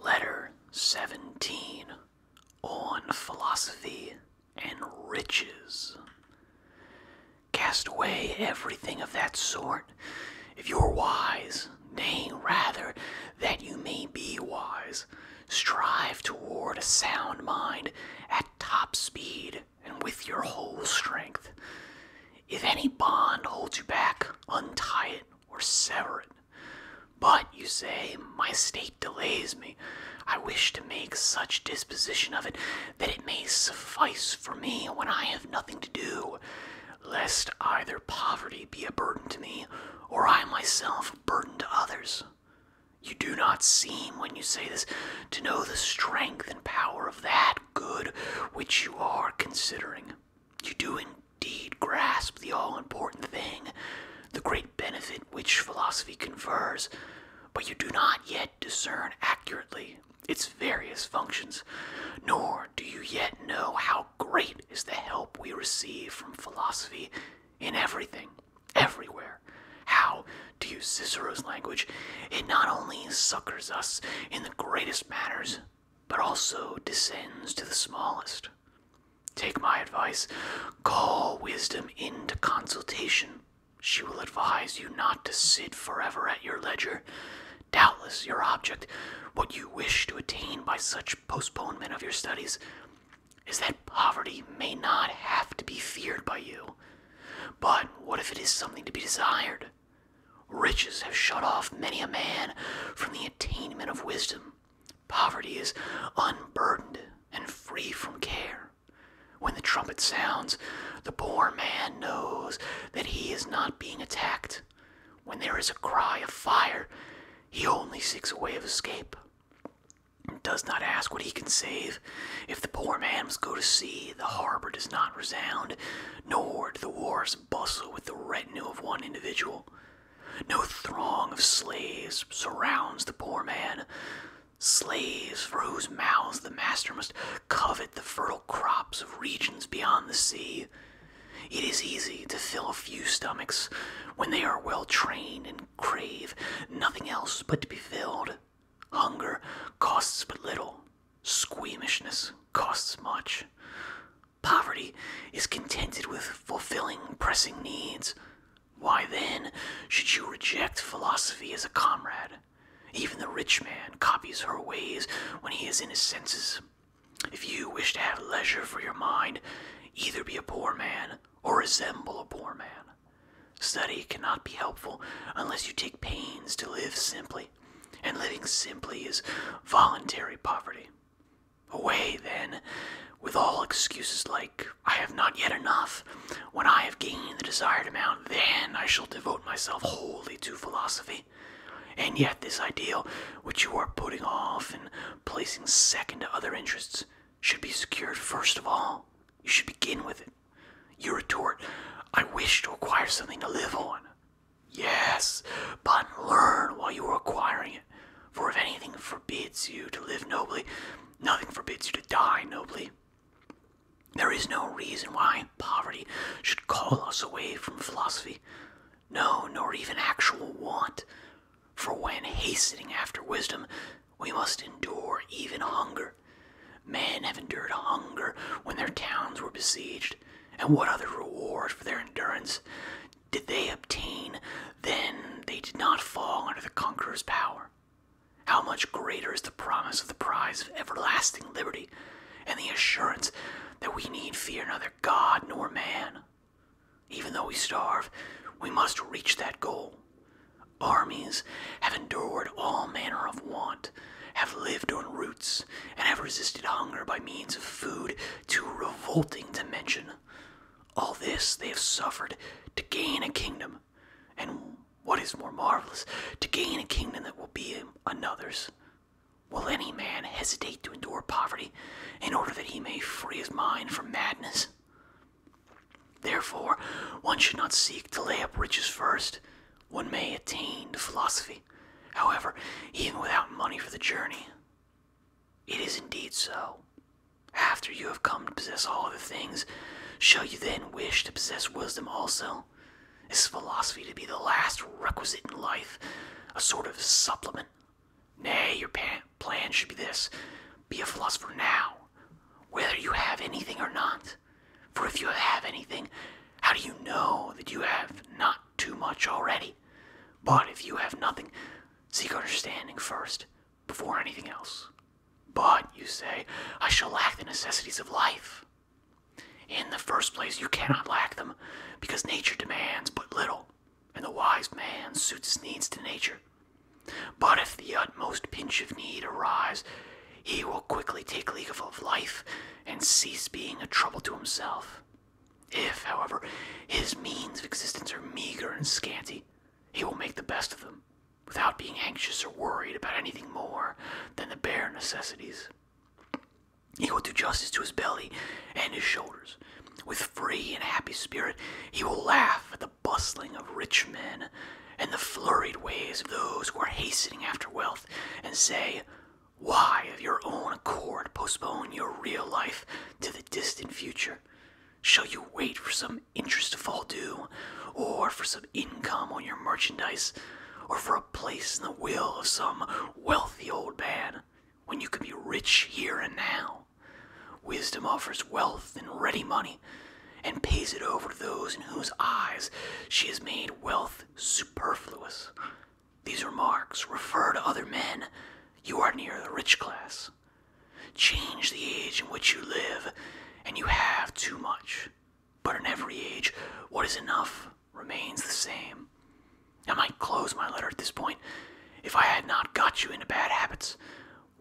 Letter 17 On Philosophy and Riches. Cast away everything of that sort, if you are wise, nay, rather, that you may be wise. Strive toward a sound mind at top speed and with your whole strength. If any bond holds you back, untie it or sever it. But, you say, my state delays me. I wish to make such disposition of it that it may suffice for me when I have nothing to do, lest either poverty be a burden to me, or I myself a burden to others. You do not seem, when you say this, to know the strength and power of that good which you are considering. You do indeed grasp the all important thing, the great benefit which philosophy confers, but you do not yet discern accurately its various functions, nor do you yet know how great is the help we receive from philosophy in everything, everywhere. How, to use Cicero's language, it not only succors us in the greatest matters, but also descends to the smallest. Take my advice. Call wisdom into consultation. She will advise you not to sit forever at your ledger. Doubtless, your object, what you wish to attain by such postponement of your studies, is that poverty may not have to be feared by you. But what if it is something to be desired? Riches have shut off many a man from the attainment of wisdom. Poverty is unburdened and free from care. When the trumpet sounds, the poor man knows that he is not being attacked. When there is a cry of fire, he only seeks a way of escape. And does not ask what he can save. If the poor man must go to sea, the harbor does not resound, nor do the wars bustle with the retinue of one individual. No throng of slaves surrounds the poor man. Slaves for whose mouths the master must covet the fertile crops of regions beyond the sea. It is easy to fill a few stomachs when they are well trained and crave nothing else but to be filled. Hunger costs but little Squeamishness costs much. Poverty is contented with fulfilling pressing needs. Why then should you reject philosophy as a comrade? Even the rich man copies her ways when he is in his senses. If you wish to have leisure for your mind, either be a poor man or resemble a poor man. Study cannot be helpful unless you take pains to live simply and living simply is voluntary poverty. Away, then, with all excuses like, I have not yet enough. When I have gained the desired amount, then I shall devote myself wholly to philosophy. And yet, this ideal, which you are putting off and placing second to other interests, should be secured first of all. You should begin with it. You retort, I wish to acquire something to live on. Yes, but learn while you are acquiring it. For if anything forbids you to live nobly, nothing forbids you to die nobly. There is no reason why poverty should call us away from philosophy, no, nor even actual want. For when hastening after wisdom, we must endure even hunger. Men have endured hunger when their towns were besieged, and what other reward for their endurance did they obtain? Then they did not fall under the conqueror's power. How much greater is the promise of the prize of everlasting liberty, and the assurance that we need fear neither God nor man. Even though we starve, we must reach that goal. Armies have endured all manner of want have lived on roots, and have resisted hunger by means of food to revolting dimension. All this they have suffered to gain a kingdom, and what is more marvelous, to gain a kingdom that will be another's. Will any man hesitate to endure poverty in order that he may free his mind from madness? Therefore, one should not seek to lay up riches first, one may attain to philosophy. However, even without money for the journey, it is indeed so. After you have come to possess all other things, shall you then wish to possess wisdom also? Is philosophy to be the last requisite in life, a sort of supplement? Nay, your plan should be this be a philosopher now, whether you have anything or not. For if you have anything, how do you know that you have not too much already? But if you have nothing, seek understanding first, before anything else. But, you say, I shall lack the necessities of life. In the first place, you cannot lack them, because nature demands but little, and the wise man suits his needs to nature. But if the utmost pinch of need arise, he will quickly take leave of life and cease being a trouble to himself. If, however, his means of existence are meager and scanty, he will make the best of them, without being anxious or worried about anything more than the bare necessities. He will do justice to his belly and his shoulders. With free and happy spirit, he will laugh at the bustling of rich men and the flurried ways of those who are hastening after wealth, and say, Why, of your own accord, postpone your real life to the distant future? Shall you wait for some interest to fall due, or for some income on your merchandise, or for a place in the will of some wealthy old man, when you can be rich here and now? Wisdom offers wealth in ready money, and pays it over to those in whose eyes she has made wealth superfluous. These remarks refer to other men. You are near the rich class. Change the age in which you live, and you have too much. But in every age, what is enough remains the same. I might close my letter at this point if I had not got you into bad habits,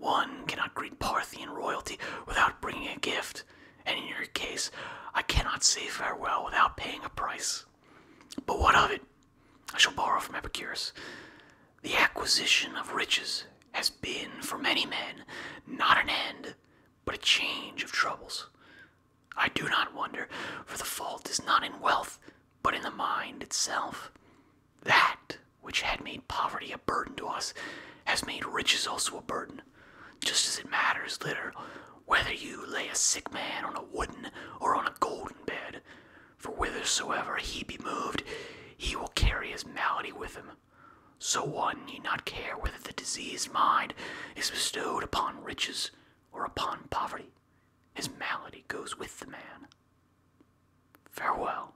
one cannot greet Parthian royalty without bringing a gift, and in your case, I cannot say farewell without paying a price. But what of it? I shall borrow from Epicurus. The acquisition of riches has been, for many men, not an end, but a change of troubles. I do not wonder, for the fault is not in wealth, but in the mind itself. That which had made poverty a burden to us, has made riches also a burden. Just as it matters little whether you lay a sick man on a wooden or on a golden bed, for whithersoever he be moved, he will carry his malady with him. So one need not care whether the diseased mind is bestowed upon riches or upon poverty. His malady goes with the man. Farewell,